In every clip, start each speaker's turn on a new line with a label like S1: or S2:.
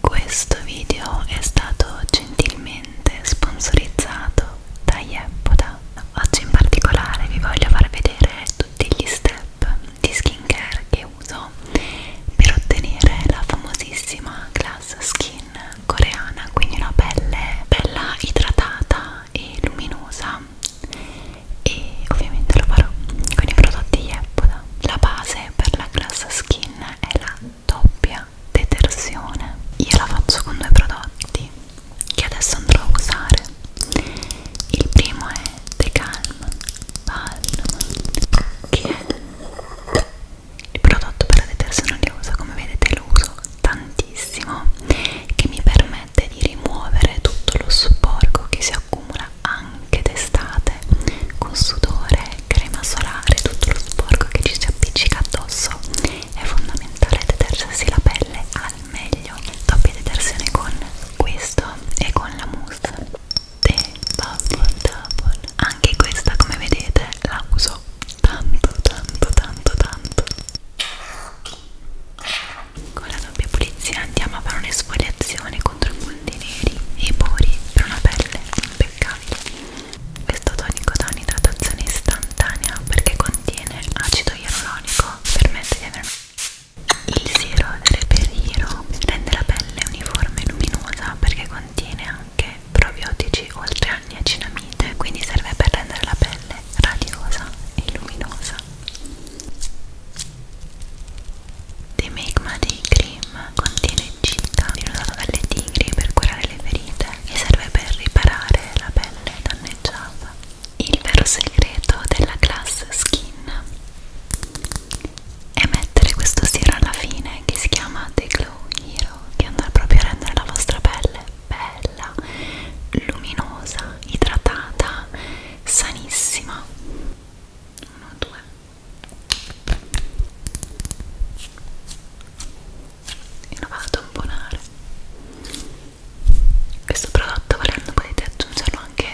S1: Questo video è stato gentilmente sponsorizzato da Yeppoda. Oggi in particolare vi voglio far vedere tutti gli step di skincare che uso per ottenere la famosissima Glass Skin coreana, quindi una pelle bella idratata e luminosa e ovviamente lo farò con i prodotti Yeppoda. La base per la Glass Skin è la doppia detersione io la faccio con due prodotti che adesso andrò a usare il primo è The Calm Balm che è il prodotto per la detersione oleosa come vedete lo uso tantissimo che mi permette di rimuovere tutto lo sporco che si accumula anche d'estate con sudore crema solare, tutto lo sporco che ci si appiccica addosso. È fondamentale detergersi la pelle al meglio. Doppia detersione con questo e con la mousse The Bubble Double. Anche questa, come vedete, la uso tanto, tanto, tanto, tanto. Con la doppia pulizia andiamo a fare un'esfoliazione contro i punti neri e i pori per una pelle impeccabile questo tonico dà un'idratazione istantanea perché contiene acido ialuronico, permette di avere il siero reperiro rende la pelle uniforme e luminosa perché contiene anche probiotici oltre a niacinamide, quindi serve per rendere la pelle radiosa e luminosa. The Magma Day Cream contiene cica, viene usata dalle tigri per curare le ferite limite che serve per riparare la pelle danneggiata. Il vero segreto della Glass Skin è mettere questo siero alla fine che si chiama The Glow Hero che andrà proprio a rendere la vostra pelle bella, luminosa, idratata, sanissima. Uno, due e lo vado a tamponare questo prodotto volendo potete aggiungerlo anche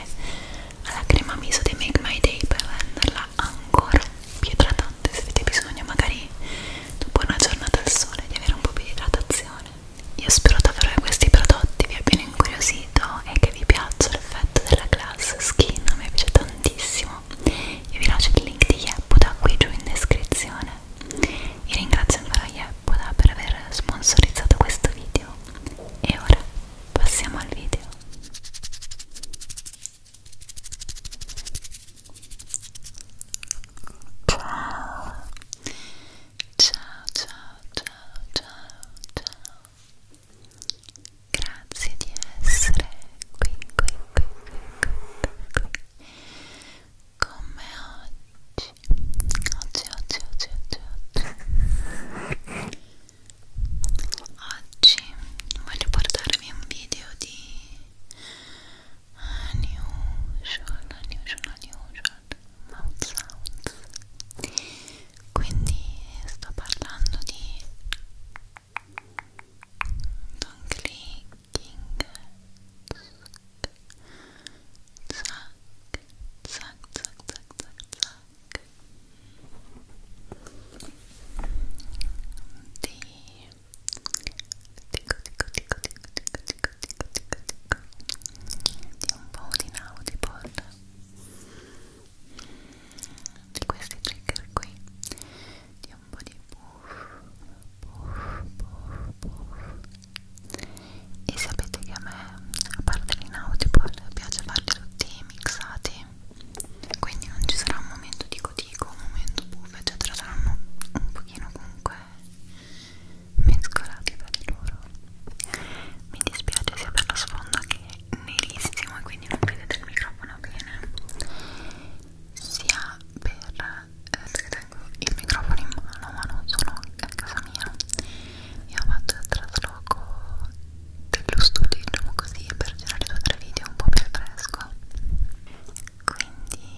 S1: alla crema miso di Make My Day per renderla ancora più idratante se avete bisogno magari dopo una giornata al sole di avere un po' più di idratazione io spero davvero che questi prodotti vi abbiano incuriosito e che vi piaccia l'effetto della glass skin a me piace tantissimo no io vi lascio il link di Yeppoda qui giù in descrizione vi ringrazio ancora Yeppoda per aver sponsorizzato questo video e ora passiamo al video ciao ciao ciao ciao ciao ciao grazie di essere qui qui qui qui qui qui come oggi oggi oggi oggi oggi oggi oggi voglio portarvi un video di unusual eh, unusual unusual mouth sounds quindi sto parlando di Don't clicking zack, zack, zack, zack, zack, zack D tico, tico, tico, tico, tico, tico, tico, tico, tico di un po' di inaudible di questi trigger di un po' di puff, puff, puff, e sapete che a me, a parte l'Inaudible, piace farli tutti mixati quindi non ci sarà un momento di cotico, un momento puff, eccetera saranno un pochino comunque mescolati tra di loro mi dispiace sia per lo sfondo che è nerissimo e quindi non vedete il microfono bene sia per eh, perché tengo il microfono in mano ma non sono a casa mia io faccio il trasloco dello studio diciamo così per girare due o tre video un po' più fresco quindi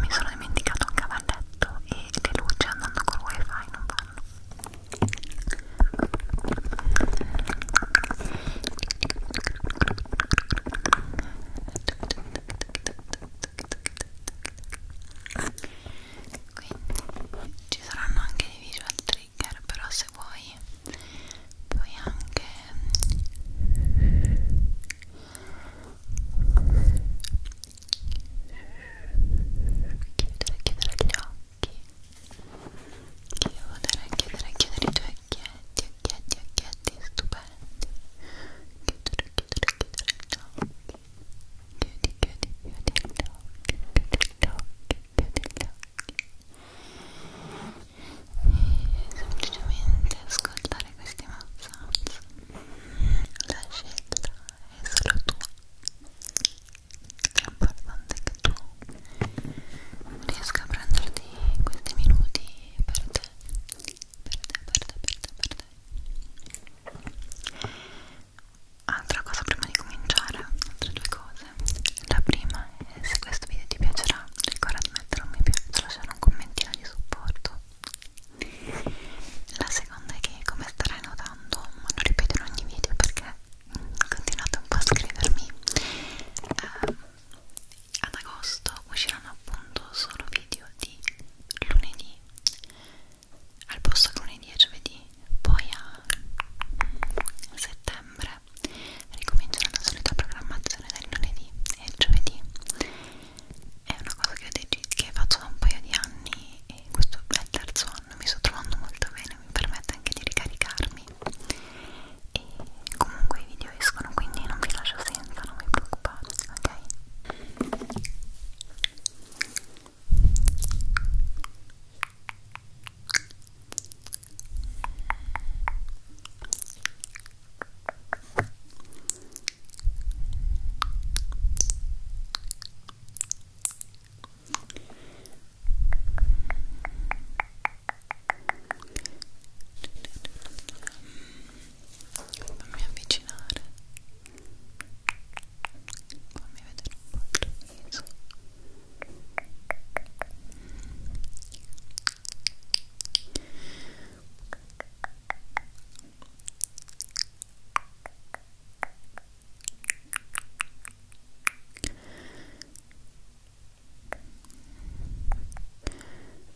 S1: mi sono dimenticato un cavalletto e le luci andando col wifi non vanno quindi ci saranno anche dei visual trigger però se vuoi puoi anche chiudere chiudere gli occhi chiudere chiudere chiudere i tuoi occhietti occhietti occhietti stupendo prendi chiudere, chiudere, chiudere gli occhi chiudi, chiudi, chiudi gli occhi chiudi gli occhi, chiudi gli occhi e semplicemente ascoltare questi massaggi la scelta è solo tua l'importante è che tu riesca a prenderti questi minuti per te per te, per te, per te, per te. Altra cosa prima di cominciare, altre due cose. La prima è se questo video ti piacerà, ricorda di mettere un mi piace, lasciare un commentino di supporto. La seconda è che come starai notando, ma lo ripeto in ogni video perché continuate un po' a scrivermi. Eh, ad agosto usciranno appunto solo video di lunedì al posto lunedì e giovedì poi a settembre ricomincerà la solita programmazione del lunedì e giovedì è una cosa che, ho che faccio da un paio di anni e questo è il terzo anno mi sto trovando molto bene mi permette anche di ricaricarmi e comunque i video escono quindi non vi lascio senza, non vi preoccupate, ok? fammi avvicinare fammi vedere un po' il tuo viso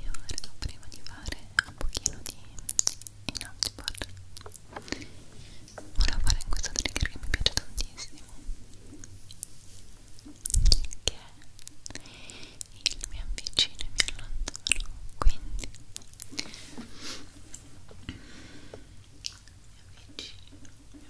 S1: io ora prima di fare un pochino di inaudible volevo fare in questo trigger che mi piace tantissimo che è il mi avvicino e mi allontano quindi mi avvicino, mi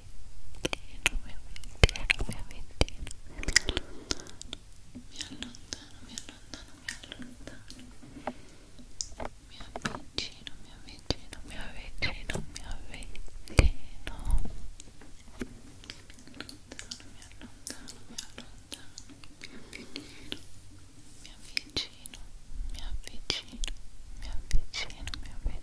S1: ventino, mio ventino, mio ventino. Mi allontano, mi allontano, mi allontano. Mi avvicino, mi avvicino, mi avvicino, mi avvicino. Mi allontano, mi allontano, mi allontano. Mi avvicino, mi avvicino, mi avvicino, mi avvicino. Mi avvicino, mi avvicino, mi avvicino.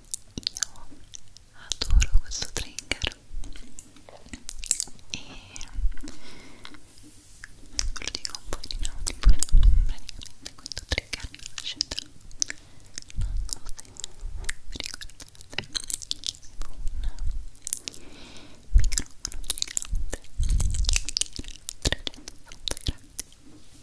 S1: io adoro questo trigger e ve lo dico un po' di nuovo praticamente questo trigger nascita non so se vi ricordate con un microfono gigante 360 gradi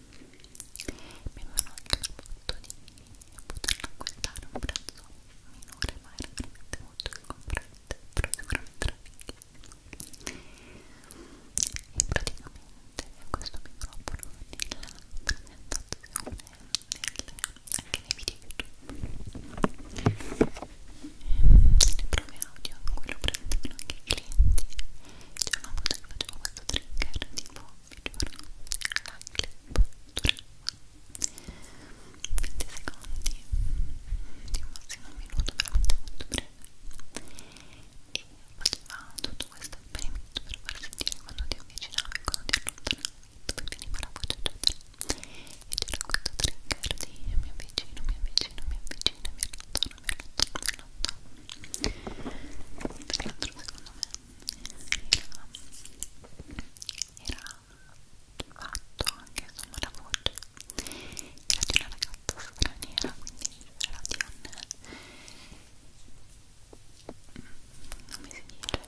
S1: mi avevano proposto di poter acquistare un prezzo minore ma era veramente molto scomprente però sicuramente era finché e praticamente questo microfono nella presentazione nel, anche nei video youtube ehm, nelle prove audio in cui lo prendono anche i clienti c'è una volta che facevo questo trigger tipo la clip durava 20 secondi di un massimo un minuto veramente molto breve e faceva tutto questo esperimento per far sentire quando ti avvicinavi e quando ti allontanavi dove veniva la voce eccetera e c'era questo trigger di mi avvicino, mi avvicino, mi avvicino, mi allontano tra l'altro secondo me era, era fatto anche insomma la voce era di una ragazza straniera quindi era di un come si dice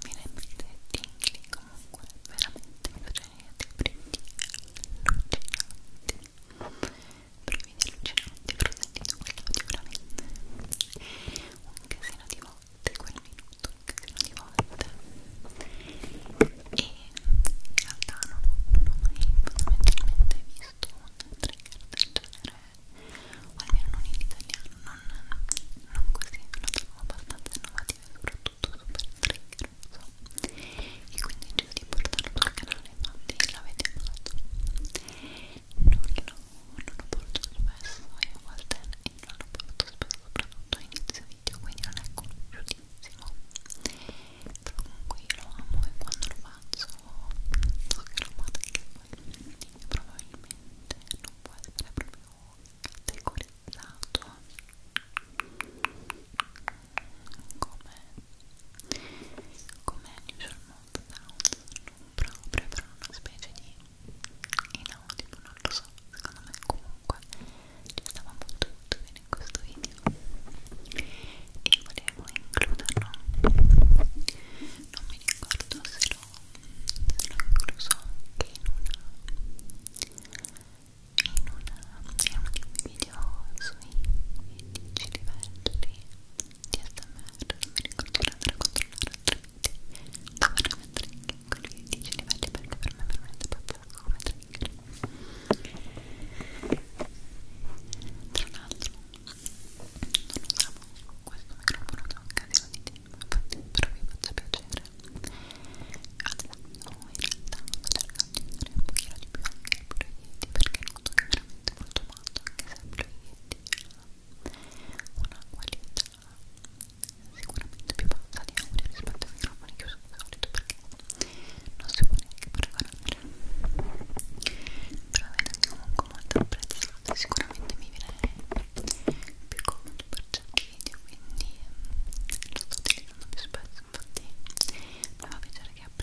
S1: mi rende tingli comunque veramente mi faceva dei brividi allucinanti brividi allucinanti, avrò sentito quello sicuramente un casino di volte quel minuto, un casino di volte e in realtà non, non ho mai fondamentalmente visto un trigger del genere o almeno non in italiano, non, non così, lo trovo abbastanza innovativo soprattutto super trigger so. e quindi ho deciso di portarlo sul canale infatti l'avete fatto e non, non ho voluto spesso e a volte non ho voluto spesso soprattutto inizio video quindi non è conosciutissimo però comunque io lo amo e quando lo faccio so che lo amate anche voi probabilmente non può essere proprio categorizzato come come diciamo, usual mouth sounds non proprio però una specie di inaudible non lo so secondo me comunque ci stava molto molto bene in questo video e volevo includerlo non mi ricordo se l'ho incluso anche in una in una in un video sui 10 livelli di ASMR non mi ricordo di andare a controllare altrimenti devo andare a mettere quelli 10 livelli perché per me veramente proprio come trigger tra l'altro non usavo questo microfono da occasione di tempo infatti però vi faccio piacere adesso in realtà sto cercando di andare un pochino di più anche il proietti perché noto che veramente molto matto anche se il proietti una qualità sicuramente più bassa di audio rispetto ai microfoni che uso di solito perché non si può neanche paragonare però vedete comunque molto apprezzato sicuramente mi viene più comodo per certi video quindi mm, lo sto utilizzando più spesso infatti mi fa piacere che abbia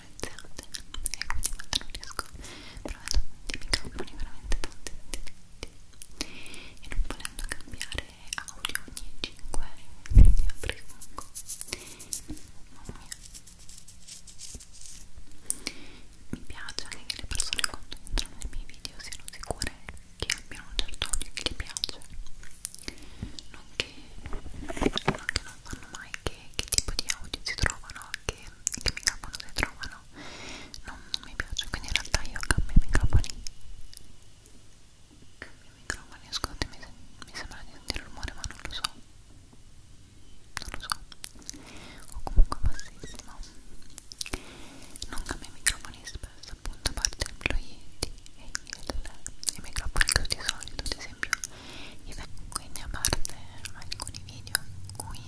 S1: prezzate e quindi quando non riesco provando dei microfoni veramente tanti tanti tanti e non volendo cambiare audio ogni 5 minuti perché comunque mamma mia mi piace anche che le persone quando entrano nei miei video siano sicure che abbiano un certo audio che gli piace non che, non che non sanno mai che, che tipo di audio si trovano che, che microfono si trovano non, non mi piace quindi in realtà io cambio i microfoni cambio i microfoni ascolti mi, mi sembra di sentire rumore ma non lo so non lo so o comunque bassissimo non cambio i microfoni spesso appunto a parte il ploietti e il, i microfoni che ho di solito ad esempio quindi a parte alcuni video in cui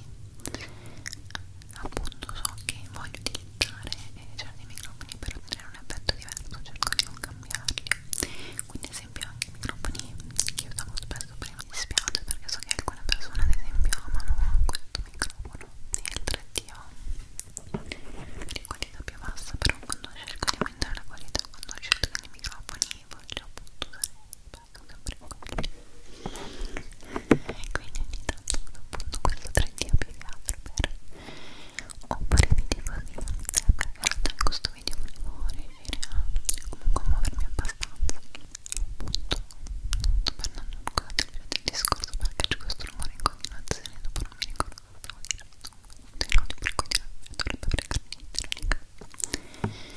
S1: appunto so che voglio utilizzare eh, certi microfoni per ottenere un effetto diverso cerco di non cambiarli quindi ad esempio anche i microfoni che usavo spesso prima mi dispiace perché so che alcune persone ad esempio amano questo microfono e altre di qualità più bassa però quando cerco di aumentare la qualità quando ho scelto dei microfoni voglio appunto usare bello sempre e quindi ogni tanto appunto questo 3D più che altro per oppure vi dico di sempre che in questo video volevo riuscire a comunque muovermi abbastanza appunto tornando un po' del discorso perché c'è questo rumore in continuazione dopo non mi ricordo cosa stavo dicendo per cui dovrebbe aver carnito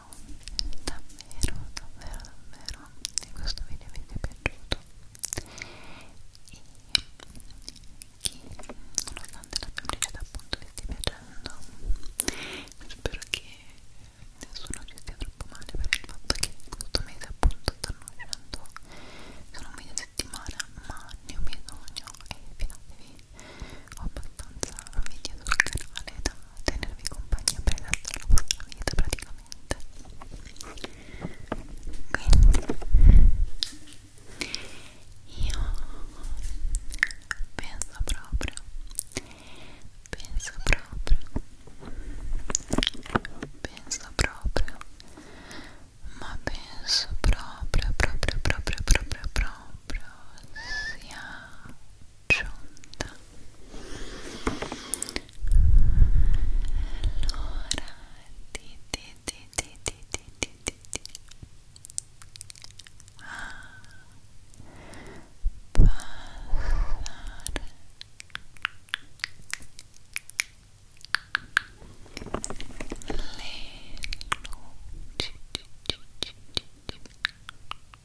S1: davvero davvero davvero che questo video vi sia piaciuto e che nonostante la pubblicità appunto vi stia piacendo spero che nessuno ci stia troppo male per il fatto che questo mese appunto stanno uscendo sono un mese a settimana ma ne ho bisogno e fidatevi ho abbastanza video sul canale da tenervi compagnia per la vostra vita praticamente quindi io penso proprio penso proprio penso proprio ma penso proprio proprio proprio proprio proprio sia asciunta allora ti ti ti ti ti ti ti ti ti ah, passare le luci e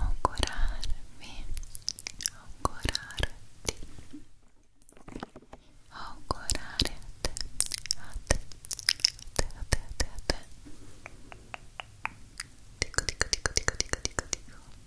S1: augurarvi augurarti augurare te a te a te a te a te dico dico dico dico dico dico dico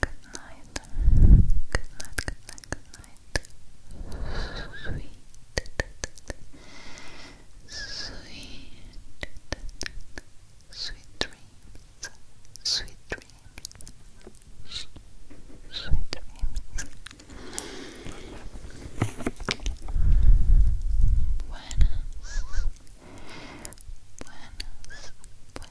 S1: Good night. Good night. Good night. Good night. Sweet. Sweet. Sweet dreams. Sweet dreams. Sweet dreams. Buenas. Buenas. Buenas.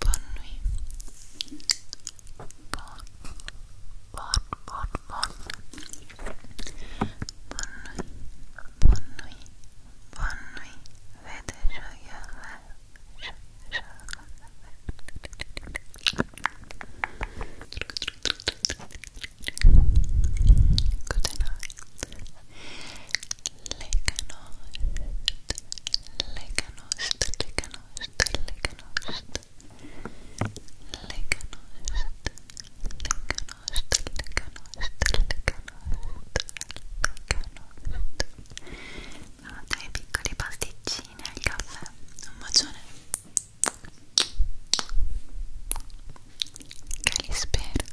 S1: Bonne nuit. Bonne, bonne, bonne, bonne. Bonne nuit. Bonne nuit. Bonne nuit. Ve de Lekanost, Lekanost, Lekanost, Lekanost, Lekanost, Lekanost, Lekanost, Tre piccoli pasticcini al caffè. Un bacione. Che li spero.